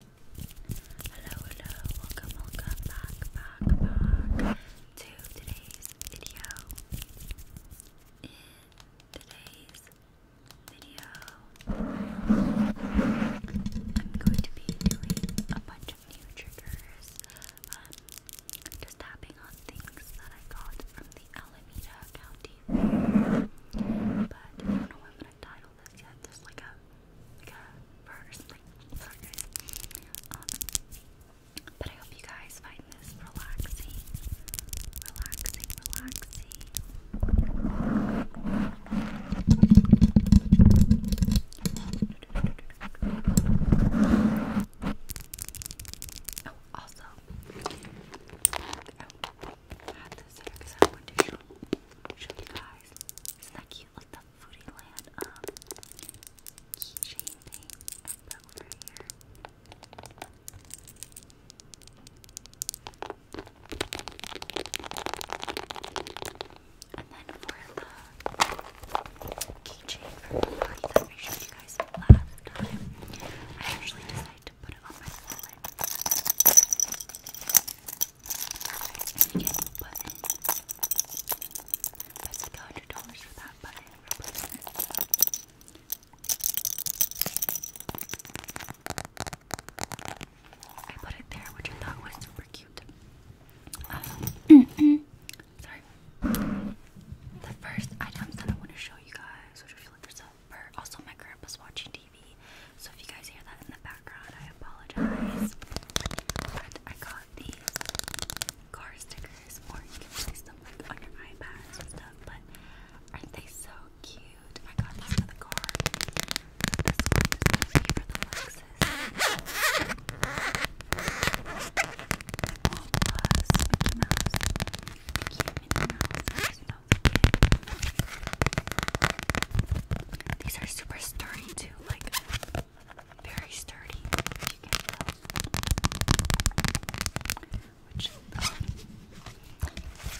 Hello, hello, welcome, welcome back, back, back to today's video. In today's video, I'm going to be doing a bunch of new triggers. Um, just tapping on things that I got from the Alameda County have this yet. There's like a like a bird or something. Sorry guys. but I hope you guys find this relaxing. Relaxing, relaxing. Oh, also, oh, had this here because I wanted to show, show you guys. Isn't that cute? Like the Foodieland um, keychain thing I put over here. And then for the keychain for the body that I showed you guys last time, I actually decided to put it on my wallet. I put it there, which I thought was super cute. Um, sorry. The first items that I want to show you guys, which if you also my grandpa's watching so if you guys hear that in the background, I apologize. But I got these car stickers, or you can place them like on your iPads and stuff. But aren't they so cute? I got these for the car. This one for the Lexus. The Mouse. no these are super sturdy too, like very sturdy. Which um,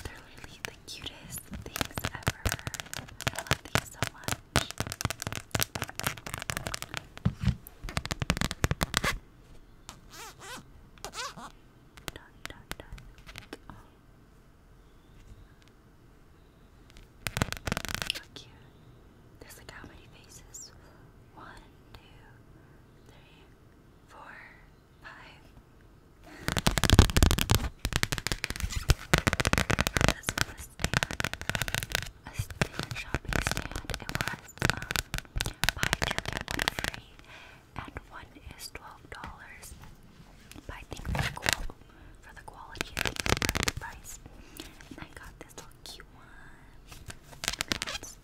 they're really the cutest things ever. I love these so much. Dun, dun, dun. How you. There's like how many faces? One, two, three, four, five. This a stand. A stand shopping stand. It was um, buy two, get one free and one is twelve dollars. But I think for the, for the quality, I the price. And I got this little one. What's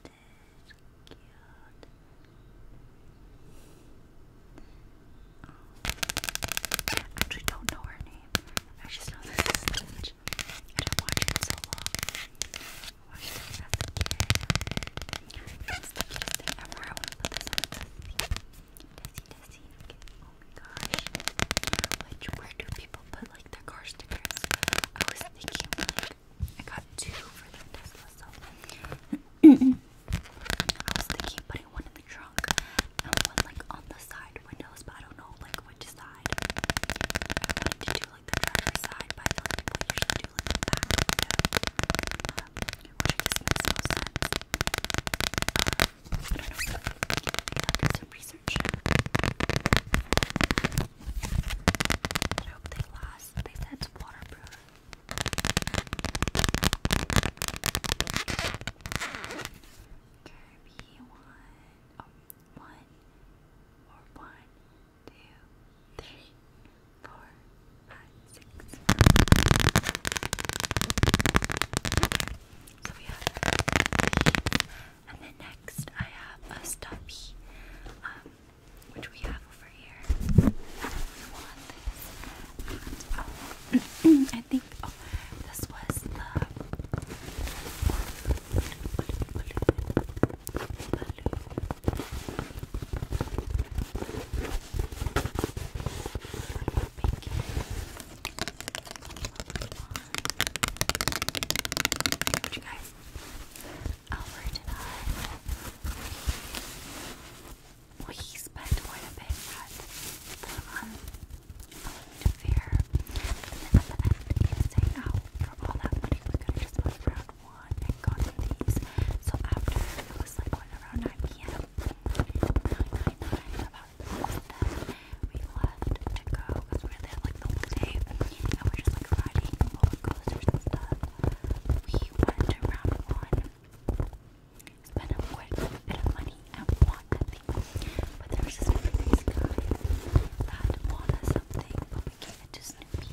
I actually don't know her name. I just know this I did watch it so long. Oh my gosh. Which where do people put like their car stickers? I was thinking like I got two for the Tesla so I was thinking putting one in the trunk and one like on the side windows, but I don't know like which side. I wanted to do like the driver's side, By I feel like people usually do like the back window. I guess makes no uh, don't know. I'll do some research. I hope they last. They said it's waterproof. Kirby one, oh, one, or four, five, six. so we have And then next I have a stubby, um, which we have over here. I think, this was the. Would you Albert and I, spent quite a bit at the um, to fair, and then at end, we say out for all that money we could have just bought from one and got these. So after it was like around 9 p.m. about that we left to go we were like the whole day and we just like riding roller stuff. We went to round one, spent a quick bit of money and bought nothing. But there was just a guy that wanted something, but we gave it to Snoopy.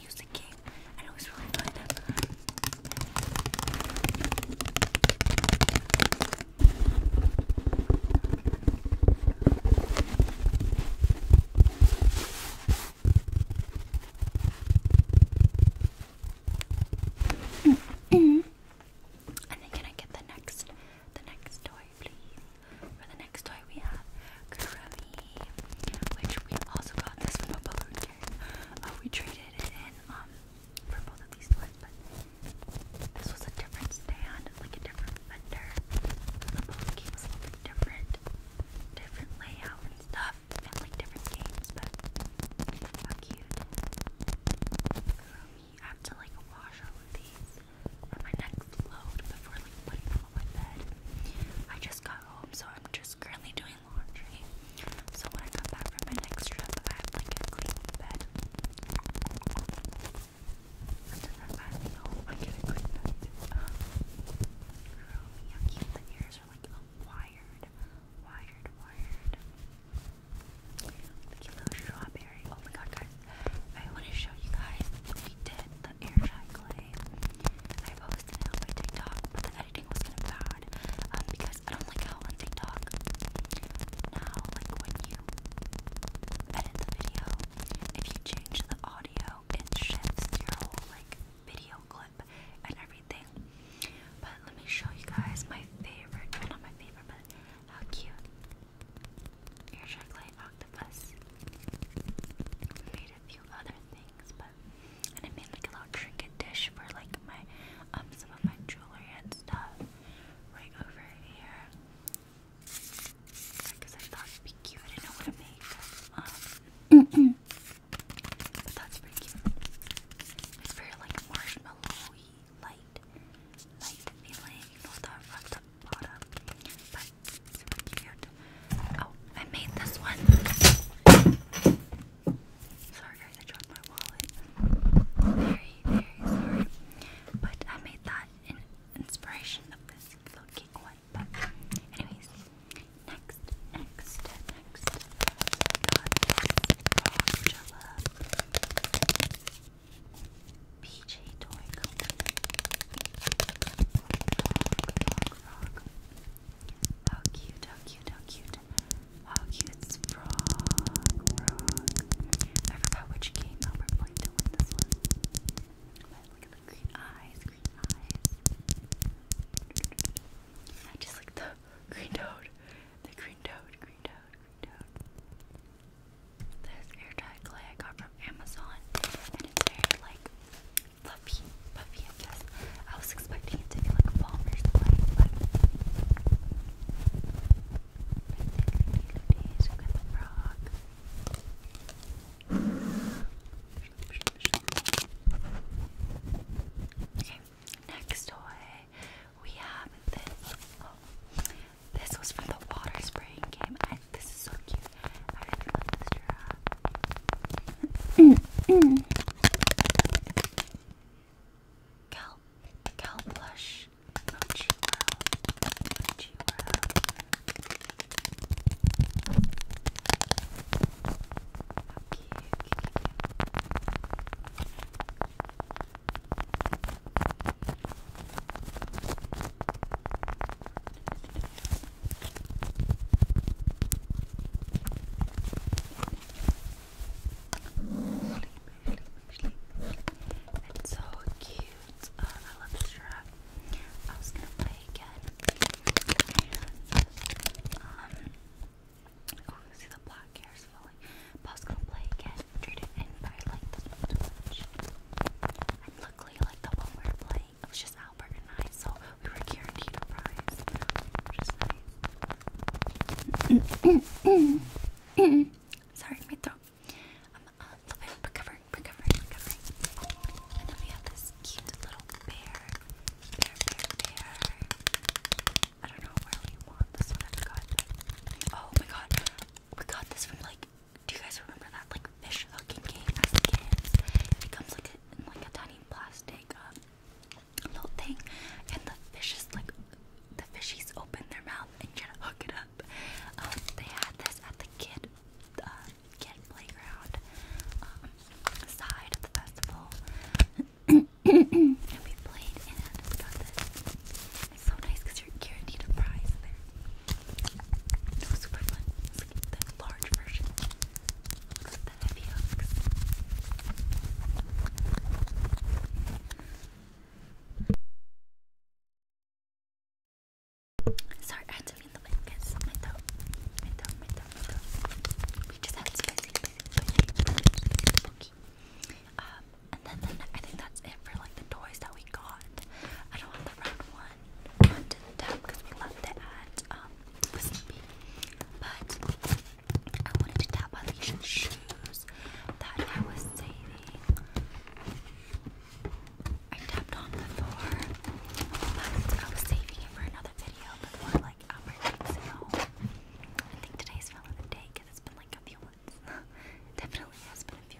music game, and it was really fun. Mm-hmm. and then can I get the next the next toy please? For the next toy we have Grammy which we also got this from a balloon kit. Uh, we traded in um, for both of these toys, but this was a different stand, like a different vendor. The balloon kit was a little bit different, different layout and stuff, and like different games, but how cute. I um, have to like wash all of these my next load before like putting them on my bed. I just got so I'm just currently doing laundry. So when I come back from my next trip, I have like a clean bed. And then i I get a clean bed. girl, how ears are like wired, wired, wired. Look at little strawberry. Oh my god, guys. I want to show you guys. We did the air dry clay. I posted on TikTok, but the editing was kind of bad um, because I don't like how on TikTok now, like when you edit the video, if you change the audio, it shifts your whole like video clip and everything. But let me show you guys my favorite, not my favorite, but how cute. Your chocolate octopus. made a few other things, but and I made like a little trinket dish for like my um some of my jewelry and stuff right over here because I thought it'd be cute. I didn't know what to make. Um, but that's pretty cute. It's very like marshmallowy, light, light feeling. You know that wrapped up but Super cute. Oh, I made this one. Sorry guys, I dropped my wallet. Very, very sorry. But I made that in inspiration of this little one. But anyways, next, next, next. PJ Toy Company frog. How cute, how cute, how cute. How cute it's frog, frog. I forgot which game Albert played to win this one. But look at the green eyes, green eyes. I just like the green toad. The green toad, green toad, green toad. This airtight clay I got from Amazon. And it's very like fluffy, puffy, I I was expecting it to be like a or something, Okay, next toy we have this. this was from the water spraying game. I, this is so cute. I love this giraffe. Cow, cow blush. Oh, chew wow. Oh, chew okay, okay. Sleep, sleep, sleep. It's so cute. Uh, I love this strap. I was gonna play again. Um, oh, see the black hair is falling. I was gonna play again, trade it like this one too much. like the one we're playing thing. It was just Albert and I, so we were guaranteed a prize, nice. Sorry, my throat. I'm a little bit And then we have this cute little bear. Bear, bear, bear. I don't know where we want this one. I forgot. Oh my god. We got this from like do you guys remember that like fish hooking game as kids? It comes like a, in like a tiny plastic um, little thing, and the fish fishes like the fishies open their mouth and try to hook it up. Um, they had this at the kid uh, kid playground um, the festival, and we played and we It's so nice because you're guaranteed a prize there. It super fun. Sorry, I had the mic. Yes, my toe, my We just had spicy, spicy, spicy, spooky. and then, then I think that's it for like the toys that we got. I don't want the round one because we left it at um the But I wanted to tap on shoes that I was saving. I tapped on before, but I was saving it for another video before like our next sale. I think today's fell of the day because it's been like a few months. Definitely has been a few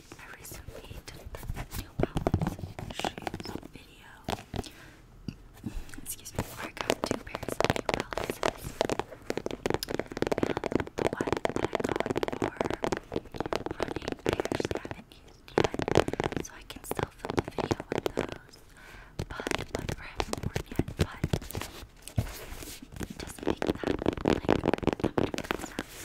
Excuse me, I got two pairs of new palaces. And the one that I got running, I haven't used yet. So I can still film a video with those. But, but, or I haven't yet, but just make that like, I'm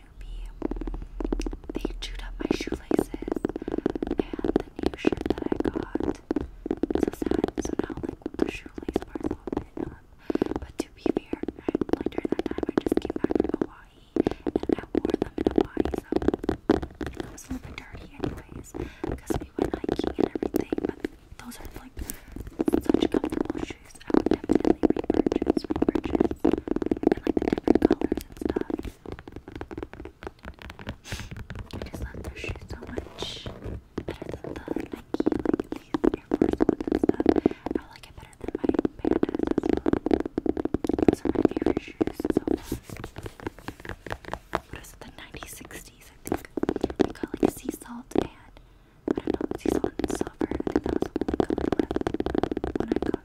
Snoopy. They chewed up my shoelaces and the new shirt that I got. so sad. So now, like, the shoelace part's all bitten up. But to be fair, I, like, during that time, I just came back from Hawaii and I wore them in Hawaii, so it was a little bit dirty, anyways, because we went hiking and everything. But those are, like, such comfortable I would definitely repurchase, repurchase, and like the different colors and stuff. I just love their shoes so much. Better than the Nike, like these Air Force ones and stuff. I like it better than my pandas as well. my favorite shoes so far. What is it, the 90s, 60s, I think. I got like sea salt and I don't know, it's easy and silver. I think that was the only when I got them.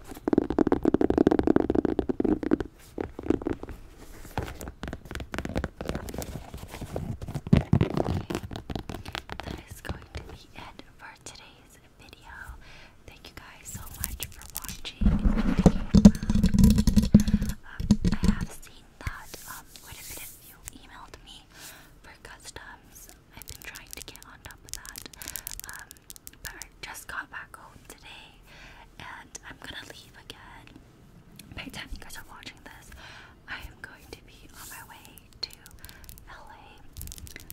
That is going to be it for today's video. Thank you guys so much for watching um, I have seen that um, quite a bit you emailed me for customs I've been trying to get on top of that. Um, but I just got back home today and I'm gonna leave again. By the time you guys are watching this, I am going to be on my way to LA.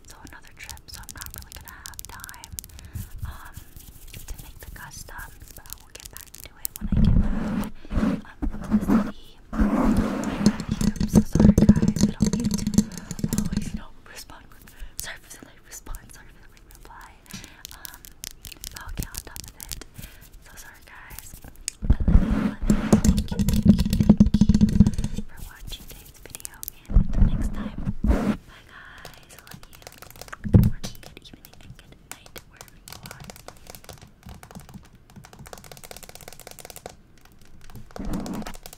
So another trip, so I'm not really gonna have time um, to make the customs, but I will get back to it when I get back um, I'm so sorry guys, I don't mean to always respond sorry for the late response, sorry for the late reply. Um, I'll get on top of it. So sorry, guys. Thank you, thank you, thank you for watching today's video. And until next time, bye, guys. love you. good evening, and good night, wherever you are.